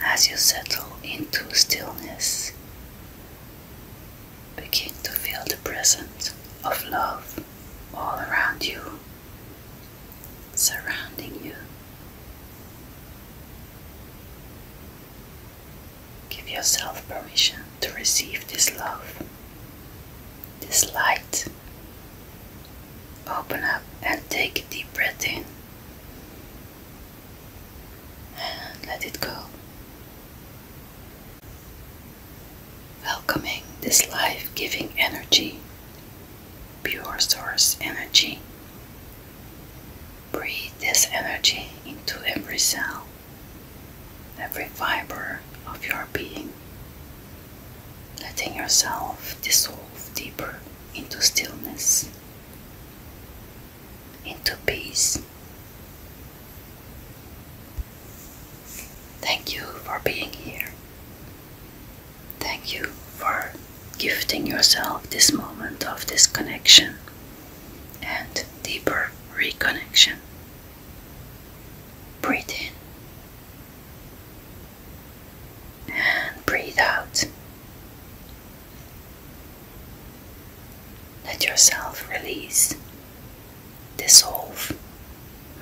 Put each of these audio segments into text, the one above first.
As you settle into stillness, begin to feel the presence of love all around you, surrounding you. Give yourself permission to receive this love, this light. Open up and take a deep breath in and let it go. Welcoming this life giving energy, pure source energy. Breathe this energy into every cell, every fiber of your being, letting yourself dissolve deeper into stillness, into peace. Thank you for being here. Thank you for gifting yourself this moment of disconnection and deeper reconnection. Breathe in and breathe out. Let yourself release, dissolve,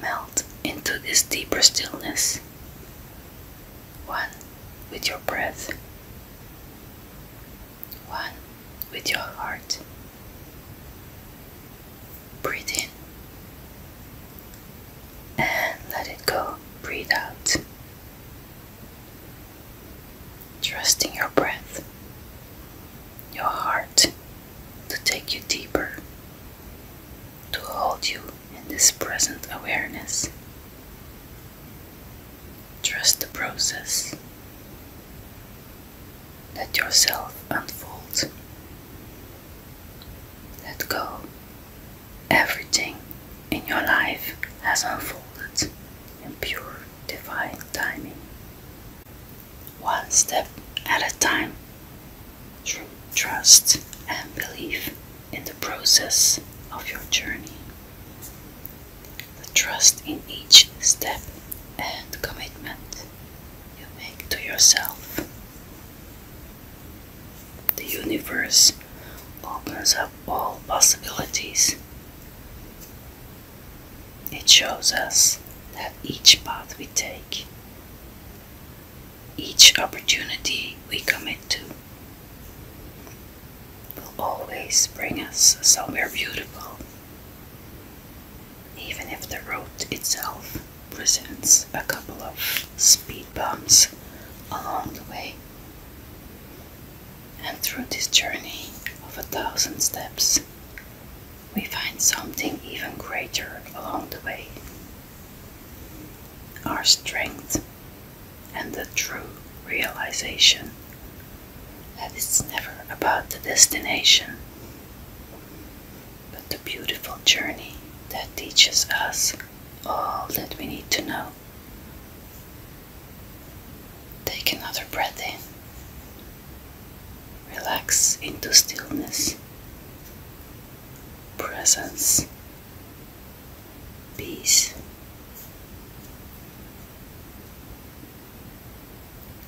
melt into this deeper stillness, one with your breath, one with your heart, breathe in and let it go, breathe out. Trusting your breath, your heart to take you deeper, to hold you in this present awareness. Trust the process. Let yourself unfold. Let go. Everything in your life has unfolded in pure divine timing. One step at a time, through trust and belief in the process of your journey. The trust in each step and commitment you make to yourself. The universe opens up all possibilities. It shows us that each path we take, each opportunity we commit to, will always bring us somewhere beautiful even if the road itself presents a couple of speed bumps along the way. And through this journey of a thousand steps, we find something even greater along the way our strength and the true realization that it's never about the destination, but the beautiful journey that teaches us all that we need to know. Take another breath in, relax into stillness, presence, peace.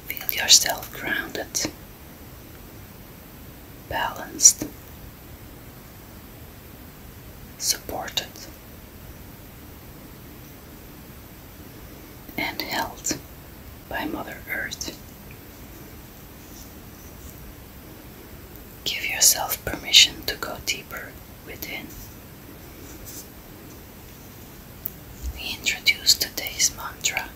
Feel yourself grounded, balanced, supported, and held by Mother Earth. Give yourself permission to go deeper within. We introduce today's mantra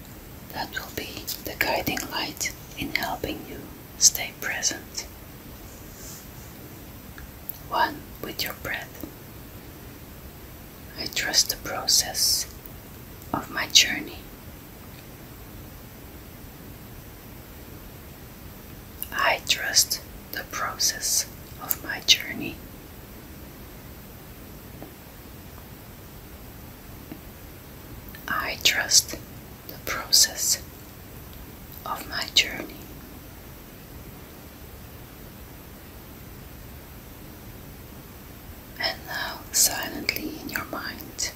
that will be the guiding light in helping you stay present. One with your breath. I trust the process of my journey. I trust the process of my journey. I trust the process of my journey. And now, silently in your mind,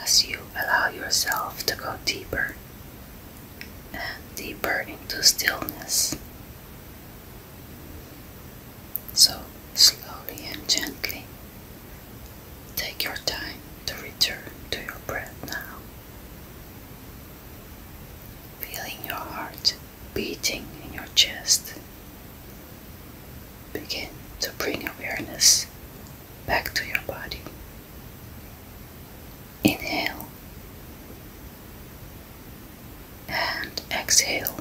as you allow yourself to go deeper and deeper into stillness. So, slowly and gently, take your time to return to your breath now. Feeling your heart beating in your chest. Begin to bring awareness back to your body. Inhale and exhale.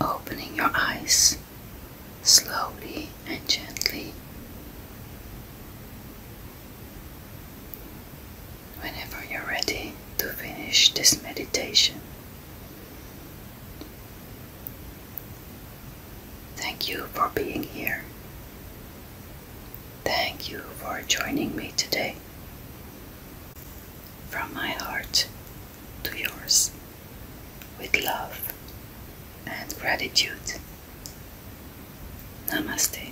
Opening your eyes slowly and gently. Whenever you're ready to finish this meditation, Thank you for being here. Thank you for joining me today. From my heart to yours, with love and gratitude. Namaste.